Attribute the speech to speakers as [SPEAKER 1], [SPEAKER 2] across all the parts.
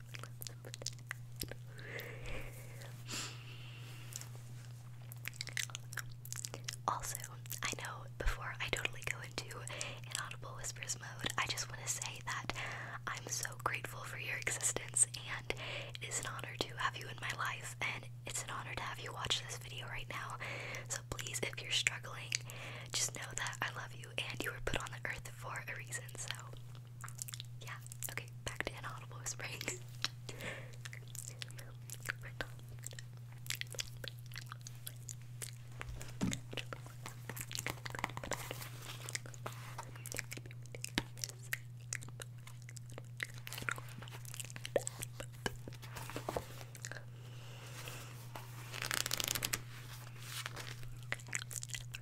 [SPEAKER 1] I Also, I know before I totally go into inaudible whispers mode, I just want to say that I'm so grateful for your existence and it is an honor to have you in my life and it's an honor to have you watch this video right now. So please, if you're struggling, just know that I love you and you were put on the earth for a reason. So yeah, okay, back to inaudible whispering. Okay.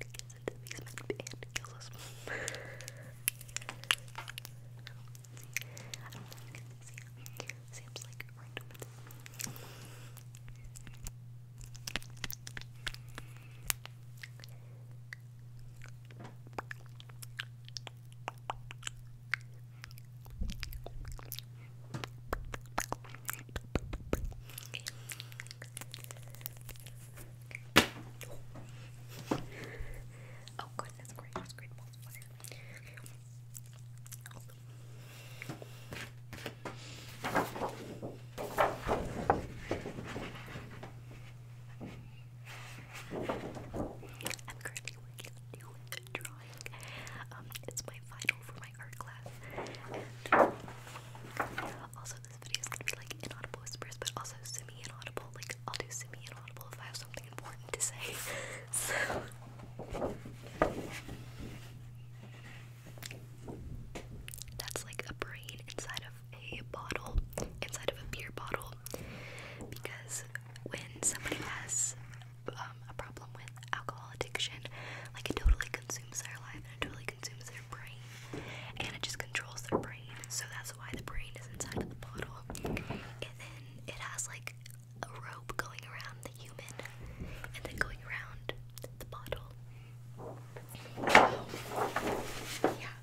[SPEAKER 1] to get the basement and kills us. you Sam's like right open. Okay. Oh goodness gracious, great I'm currently working on new drawing. Um, it's my final for my art class, um, also this video is gonna be like inaudible whispers, but also semi-inaudible. Like I'll do semi-inaudible if I have something important to say. so that's like a brain inside of a bottle, inside of a beer bottle. Because when somebody has um, a problem with alcohol addiction, like it totally consumes their life and it totally consumes their brain and it just controls their brain. So that's why the brain is inside of the bottle. And then it has like a rope going around the human and then going around the bottle. yeah,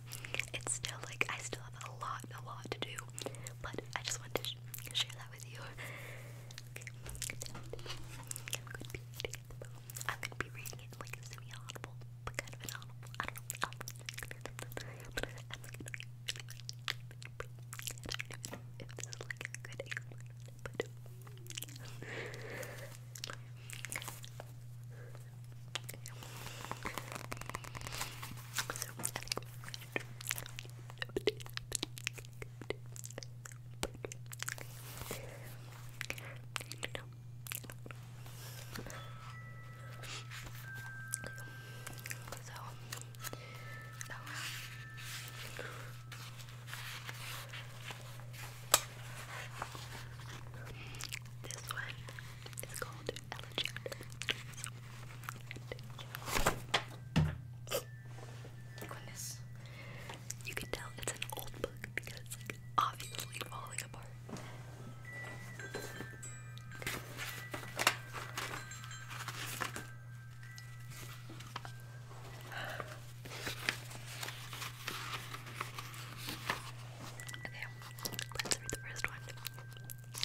[SPEAKER 1] it's still like I still have a lot, a lot to do, but I just wanted to share that with you. Okay. I'm gonna be reading it like semi-audible, but kind of inaudible. I don't know. But I'm like, okay. I don't know if this is like a good example, but so, I think but, okay. you know, so, so this one is called Elegiac. Goodness. You can tell it's an old book because it's like obviously falling apart. Okay, let's read the first one.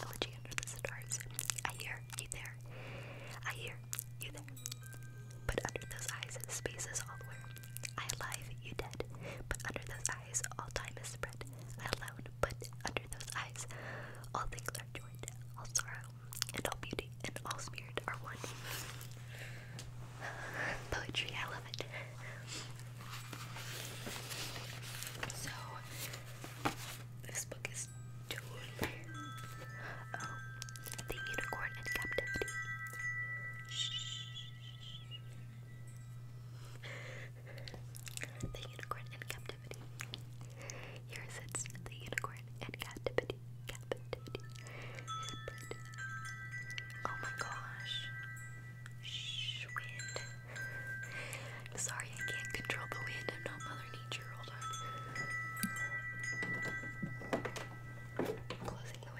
[SPEAKER 1] Elegy under the stars. I hear you there. I hear you there. But under those eyes, space is all where. I alive, you dead. But under those eyes, all time is spread. I alone, but under those eyes, all things are joined. All sorrow and all beauty and all spirit are one. Poetry, I love it. So, this book is oh, the Unicorn in Captivity. Shh. the Unicorn in Captivity. Here sits the unicorn in captivity. Captivity. Oh my gosh. Shh, wind. sorry, I can't control the wind. I'm not Mother Nature. Hold on. Closing the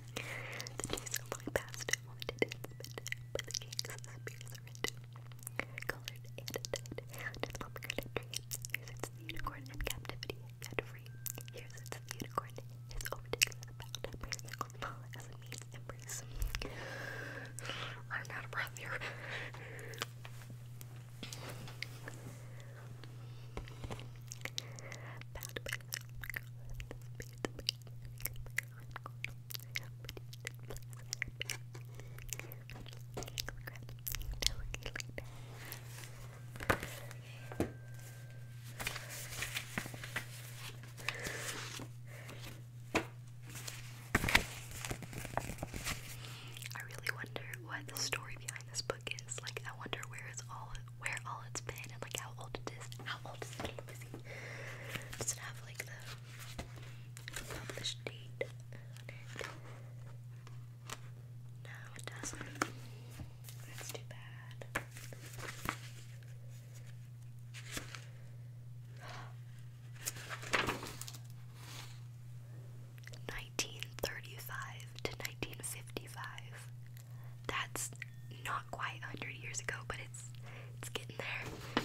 [SPEAKER 1] The cheese and flying past it wanted it, but the king's spears are red, colored and dyed. And its here's its unicorn in captivity, yet free. Here's its unicorn, is overtaken in the battle, a single fall as I'm out of breath here. I really wonder what the story behind this book is. Like, I wonder where it's all where all it's been and like how old it is. How old is it? Does it have like the published date No, it doesn't. That's too bad. Nineteen thirty-five to nineteen fifty-five. That's not quite 100 years ago, but it's it's getting there.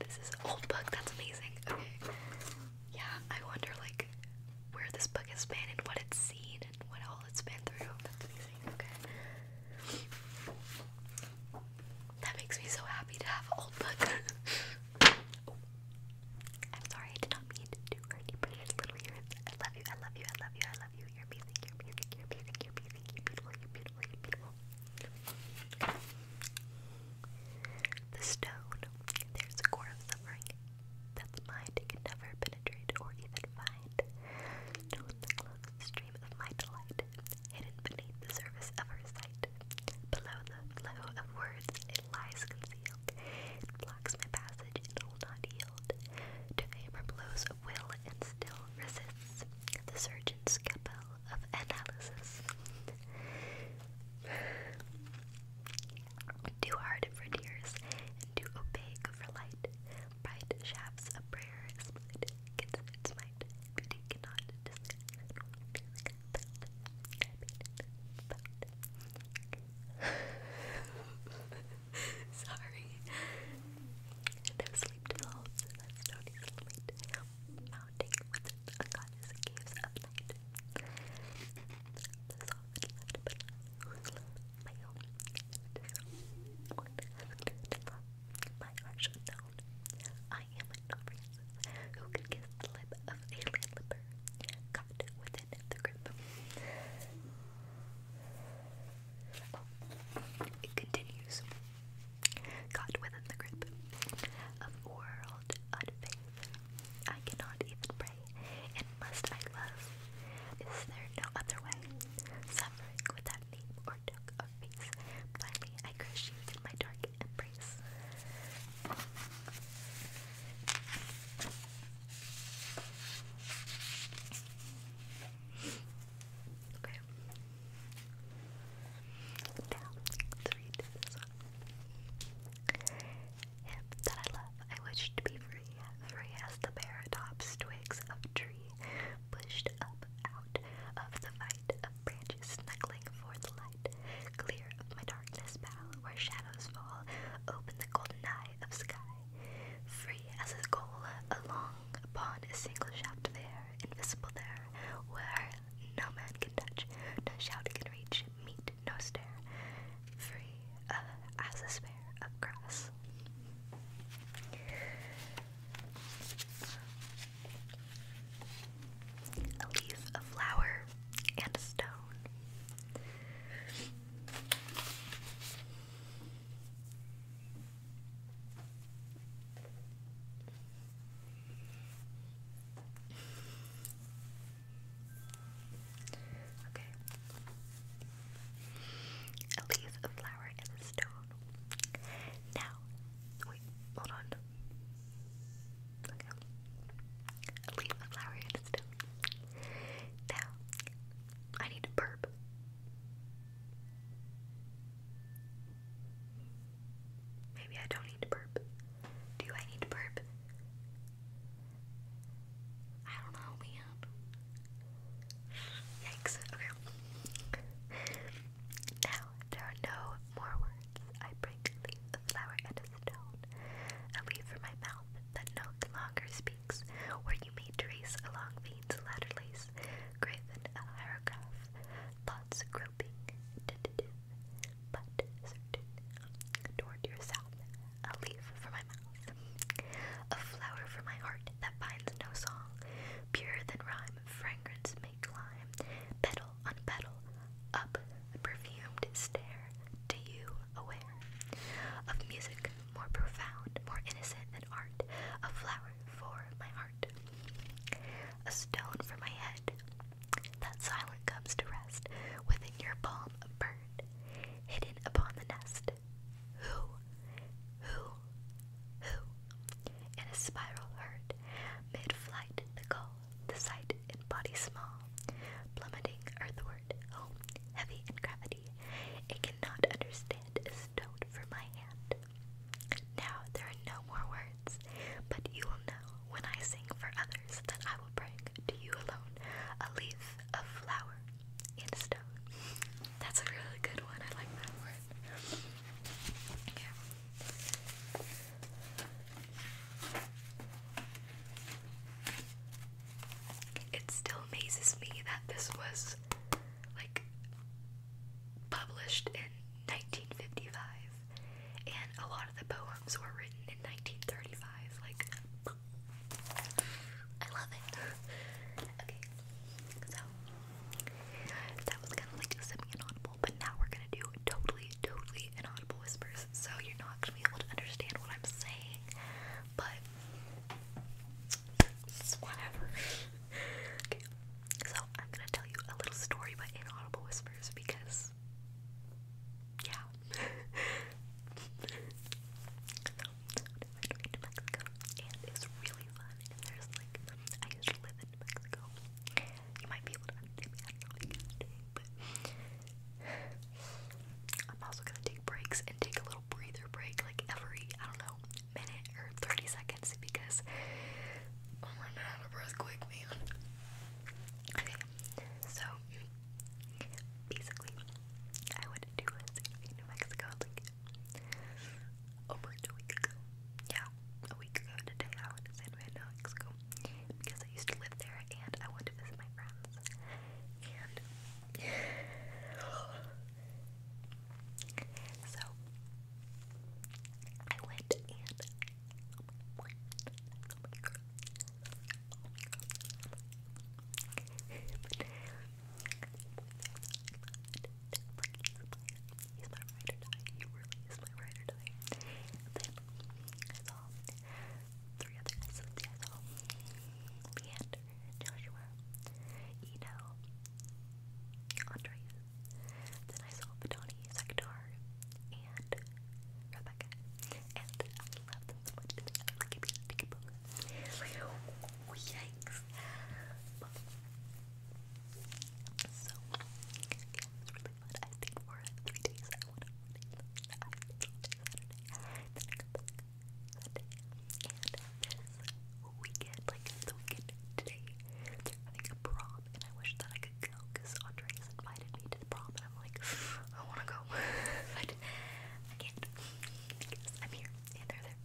[SPEAKER 1] This is an old book. That's amazing. Okay. Yeah, I wonder like where this book has been and what it's seen and what all it's been through. That's amazing. Okay. That makes me so happy to have an old book. Oh. I'm sorry, I did not mean to do any precious little ears. I love you, I love you, I love you, I love you. You're amazing, you're amazing, you're amazing, you're amazing, you're beautiful, you're beautiful, you're beautiful. The stone, there's a core of suffering. That's mind can never penetrate or even find. Stone that cloaks the stream of my delight, hidden beneath the surface of her sight. Below the flow of words, it lies concealed. It blocks my passage and will not yield. To hammer blows of will and still resists. The surgeon's scalpel of analysis. too hard for tears, too opaque for light. Bright shafts of prayer split Beauty cannot Sorry. No sleep dissolves, that's known as late mounting with its unconscious caves of night. my own, my heart I am a novice who could kiss the lip of a landlipper, wrapped within the grip. Oh, it continues. Caught within the grip of world unfaith. I cannot even pray, and must I love? Is there no other way? Suffering without name or took of face. Blindly I crush you in my dark embrace. Okay. Now, let that I love, I wish to be free, free as the bare tops, of tree, pushed up out of the fight of branches, snuggling for the light, clear of my darkness, bow, where shadows shadows fall, open the golden eye of sky. Free as a goal, along upon a single shaft of air, invisible there, where no man can touch, no shout can reach, meet no stare. Free uh, as a spare of grass. A leaf, a flower, and a stone. Okay. At least a flower and a stone. Now, wait, hold on ago. Leave a flower in Now, I need to burp. Maybe I don't need to burp. Do I need to burp? I don't know, man. Yikes. Okay. Now, there are no more words. I break a leaf, a flower, and a stone, a leaf from my mouth that no longer speaks, where you may trace along veins latterlies, graven a hieroglyph, thoughts groping, tentative, but certain, toward yourself, a leaf from my mouth, a flower from my heart that finds no song, purer than rhyme, fragrance may climb, petal petal on petal, up the perfumed stair to you aware of music more profound, more innocent than art, a flower for my heart, a stone for my head that silent comes to rest within your palm, a bird hidden upon the nest. Who, who, who? In a spiral heard, mid-flight the call the sight and body small, plummeting earthward, home, heavy in gravity, it cannot understand a stone from my hand. Now there are no more words, but you will know when I sing for others that I will bring to you alone a leaf of flower in a stone. That's a really good one. I like that word. Okay. It still amazes me that this was like published in 1955 and a lot of the poems were written in 1935 like I love it. okay. So that was kind of like just sipping it on inaudible, but now we're gonna do totally, totally inaudible whispers, so you're not gonna be able to understand what I'm saying, but whatever. okay, so I'm gonna tell you a little story about inaudible whispers because, yeah. so, to Mexico, and it's really fun, and there's like, I used to live in Mexico. You might be able to understand me, I'm also gonna take breaks and take a little breather break like every, I don't know, minute or 30 seconds because I'm running out of breath quick, man. so basically, I went to New Mexico like over two weeks ago. Yeah, about a week ago today. I went to San Francisco because I used to live there and I went to visit my friends. And so I went and oh my god. Oh oh He's my ride or die. He really is my ride or die today. And then I saw three other guys. I saw Leander, Joshua, Eno, Andreas. Then I saw Patani, Sekdar, and Rebecca. And I love them so I like it being a ticket book. yikes. So, yeah, it's really fun. I think for three days I went on I think Saturday, then and this weekend, like the weekend today, they're a prom, and I wish that I could go, because Andreas invited me to the prom, and I'm like, I want to go, but I can't, I'm here, and they're there.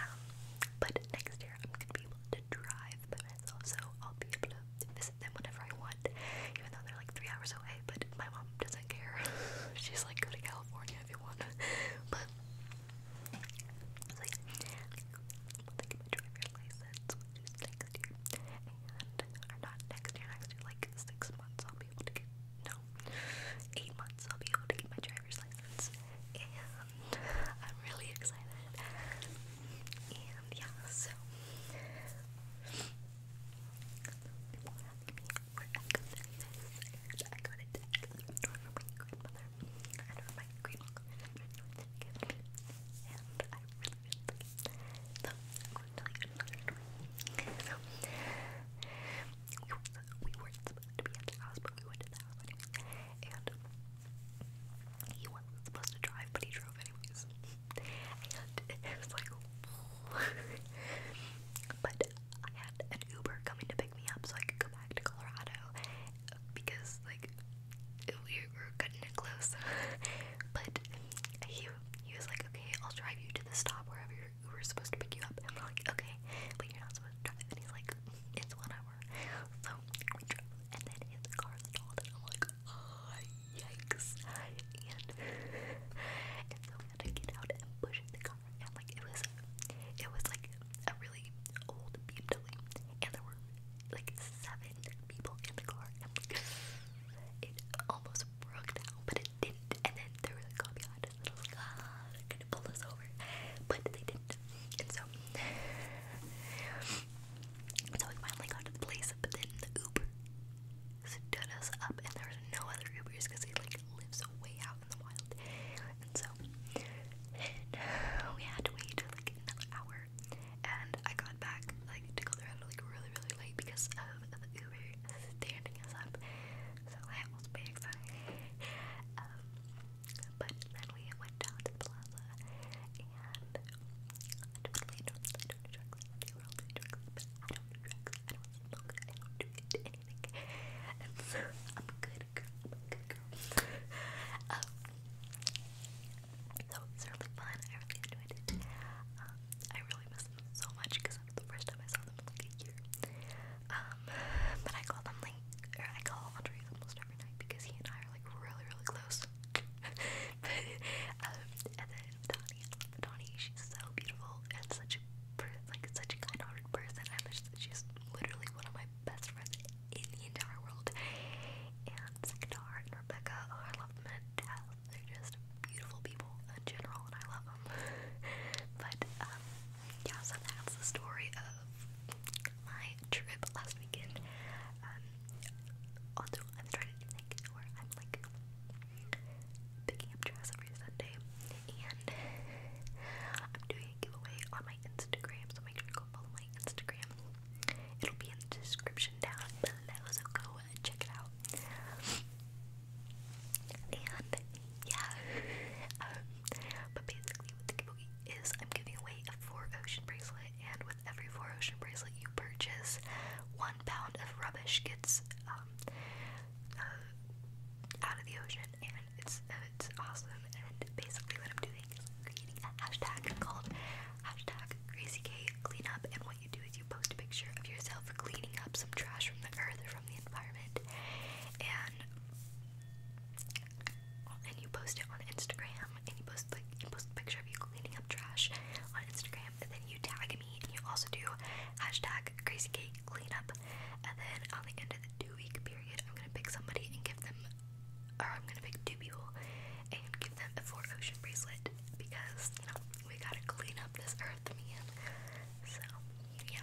[SPEAKER 1] Um, but next year I'm gonna be able to drive five minutes or so, I'll be able to visit them whenever I want, even though they're like three hours away. But my mom doesn't care. She's like, go to California if you want. but so yeah, we'll think about driver's license, which is next year, and or not next year, next year, like six months. I'll be able to get no, eight months. I'll be able to get my driver's license, and I'm really excited. And yeah, so we're exercises and I got it from my grandmother and from my grandmother and I really really like it. So I'm going to tell you another story. So we were, we were supposed to be at the house but we went to the house anyway and he wasn't supposed to drive, but he drove anyways. and it was like, but I had an Uber coming to pick me up so I could go back to Colorado because like we were cutting it close. but he he was like, okay, I'll drive you to the stop wherever your Uber's supposed to pick you up. And we're like, okay, but you're not supposed to drive. And he's like, it's one hour hour. So we drove and then hit the car stalled and I'm like, oh, yikes. And, and so we had to get out and push the car and like it was it was like a really old BMW and there were like seven people in the car and like it almost broke down but it didn't and then there was a car behind us and I was like ah they're gonna pull us over but they didn't and so so we finally got to the place, but then the Uber stood us up, and there was no other Ubers because he like lives way out in the wild. And so we had to wait like another hour, and I got back like to go there like really really late because of the Uber standing us up. So that was big exciting. Um, but then we went down to the plaza and I don't really do drugs, I don't drugs, they were all drugs, I don't drugs, I don't smoke, I don't do anything. I'm a good girl, I'm a good girl. um, so it was really fun, I really enjoyed it. Um, I really miss them so much because that was the first time I saw them in like a year. Um, but I called them I call Andres almost every night because he and I are like really really close. but um, and then Donnie, Donnie, she's so beautiful and such like such a kind-hearted person. I mean, she's literally one of my best friends in the entire world. And Sekdar and Rebecca, oh, I love them to death. They're just beautiful people in general, and I love them. but um, yeah, so that's the story my trip last weekend. Um, also, I'm starting to think where I'm like picking up dress every Sunday, and I'm doing a giveaway on my Instagram, so make sure to go follow my Instagram. It'll be in the description down below, so go uh, check it out. And yeah, um, but basically boogie the boogie is I'm giving away a four ocean bracelet, and with every four ocean bracelet you purchase, one pound of rubbish gets um, uh, out of the ocean, and it's uh, it's awesome. And basically, what I'm doing is creating a hashtag called hashtag and what you do is you post a picture of yourself cleaning up some trash from the earth or from the environment, and and you post it on Instagram and you post like you post a picture of you cleaning up trash on Instagram and then you tag me and you also do hashtag crazy cake cleanup and then on the end of the two week period I'm gonna pick somebody and give them or I'm gonna pick two people and give them a four ocean bracelet because you know we gotta clean up this earth man so yeah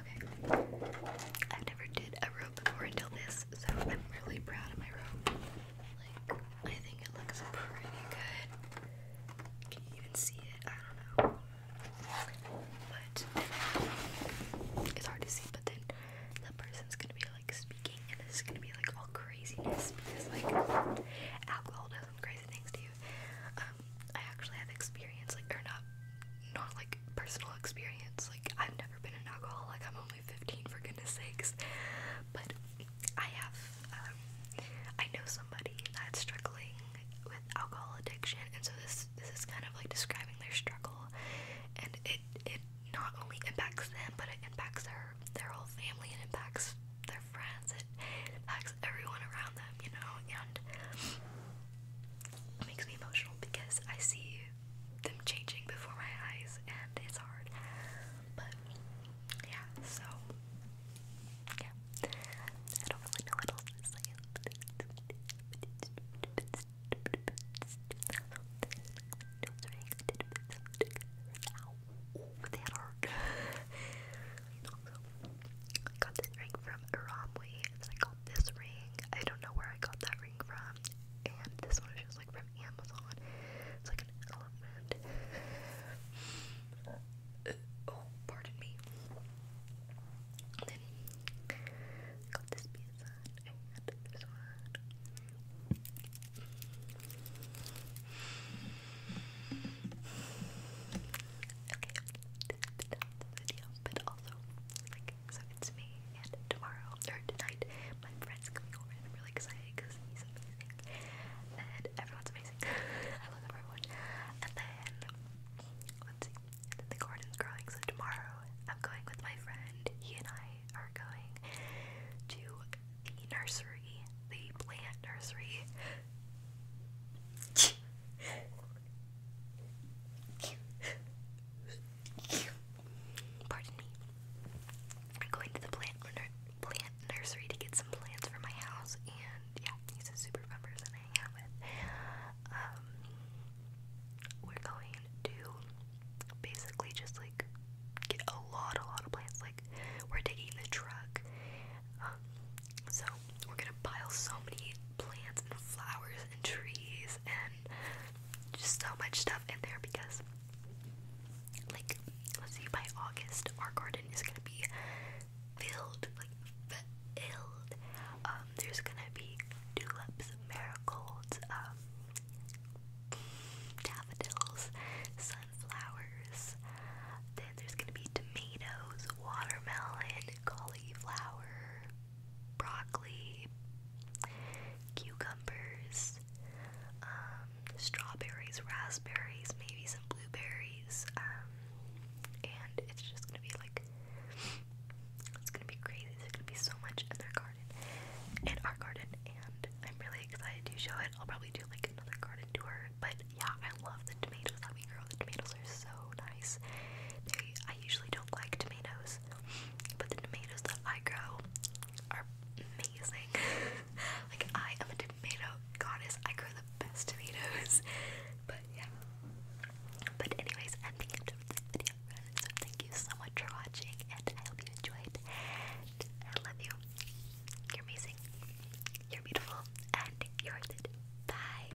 [SPEAKER 1] Okay. i never did a robe before until this, so I'm really proud of my robe. Like, I think it looks pretty good. Can you even see it? I don't know. But it's hard to see, but then the person's gonna be like speaking, and it's gonna be like all craziness because like alcohol does some crazy things to you. Um, I actually have experience, like, or not, not like personal experience. Like I've never been in alcohol. Like I'm only 15 for goodness sakes. But I have um, I know somebody that's struggling with alcohol addiction and so this this is kind of like describing their struggle and it it not only impacts them but it impacts their their whole family and impacts their friends. It impacts everyone around them, you know, and it makes me emotional because I see them changing before my eyes, and it's hard. But yeah, so yeah, I don't really know what I got this ring from Aramwe got this ring. I don't know where I got that ring from. And this one is like from Amazon. It's like an elephant. oh, pardon me. Then got this pizza and this one. Okay, but also so it's me, and tomorrow, or tonight, my friend's coming over, I'm really excited, because he's amazing, and everyone's amazing, I everyone, and then, let's see, the garden's growing, so tomorrow, I'm going with my friend, he and I are going to the nursery, the plant nursery, Pardon me. I'm going to the plant plant nursery to get some plants for my house, and yeah, these are super bummers that I hang out with. Um, we're going to basically just like get a lot, a lot of plants. Like we're taking the truck, um, so we're gonna pile so many plants and flowers and trees and just so much stuff in there because, like, let's see, by August, our garden is gonna be filled, like, filled. Um, there's gonna be tulips, marigolds, um, daffodils, sunflowers. Then there's gonna be tomatoes, watermelon, cauliflower, broccoli, cucumbers, um, strawberries, raspberries, maybe some blueberries, um, and it's just gonna be like it's gonna be crazy. There's gonna be so much in their garden, in our garden, and I'm really excited to show it. I'll probably do like another garden tour, but yeah, I love the tomatoes. Let me grow the tomatoes tomatoes are so nice. I usually don't like tomatoes, but the tomatoes that I grow are amazing. like, I am a tomato goddess. I grow the best tomatoes. But yeah. But, anyways, I'm this video. So, thank you so much for watching, and I hope you enjoyed. I love you. You're amazing. You're beautiful. And you're worth Bye.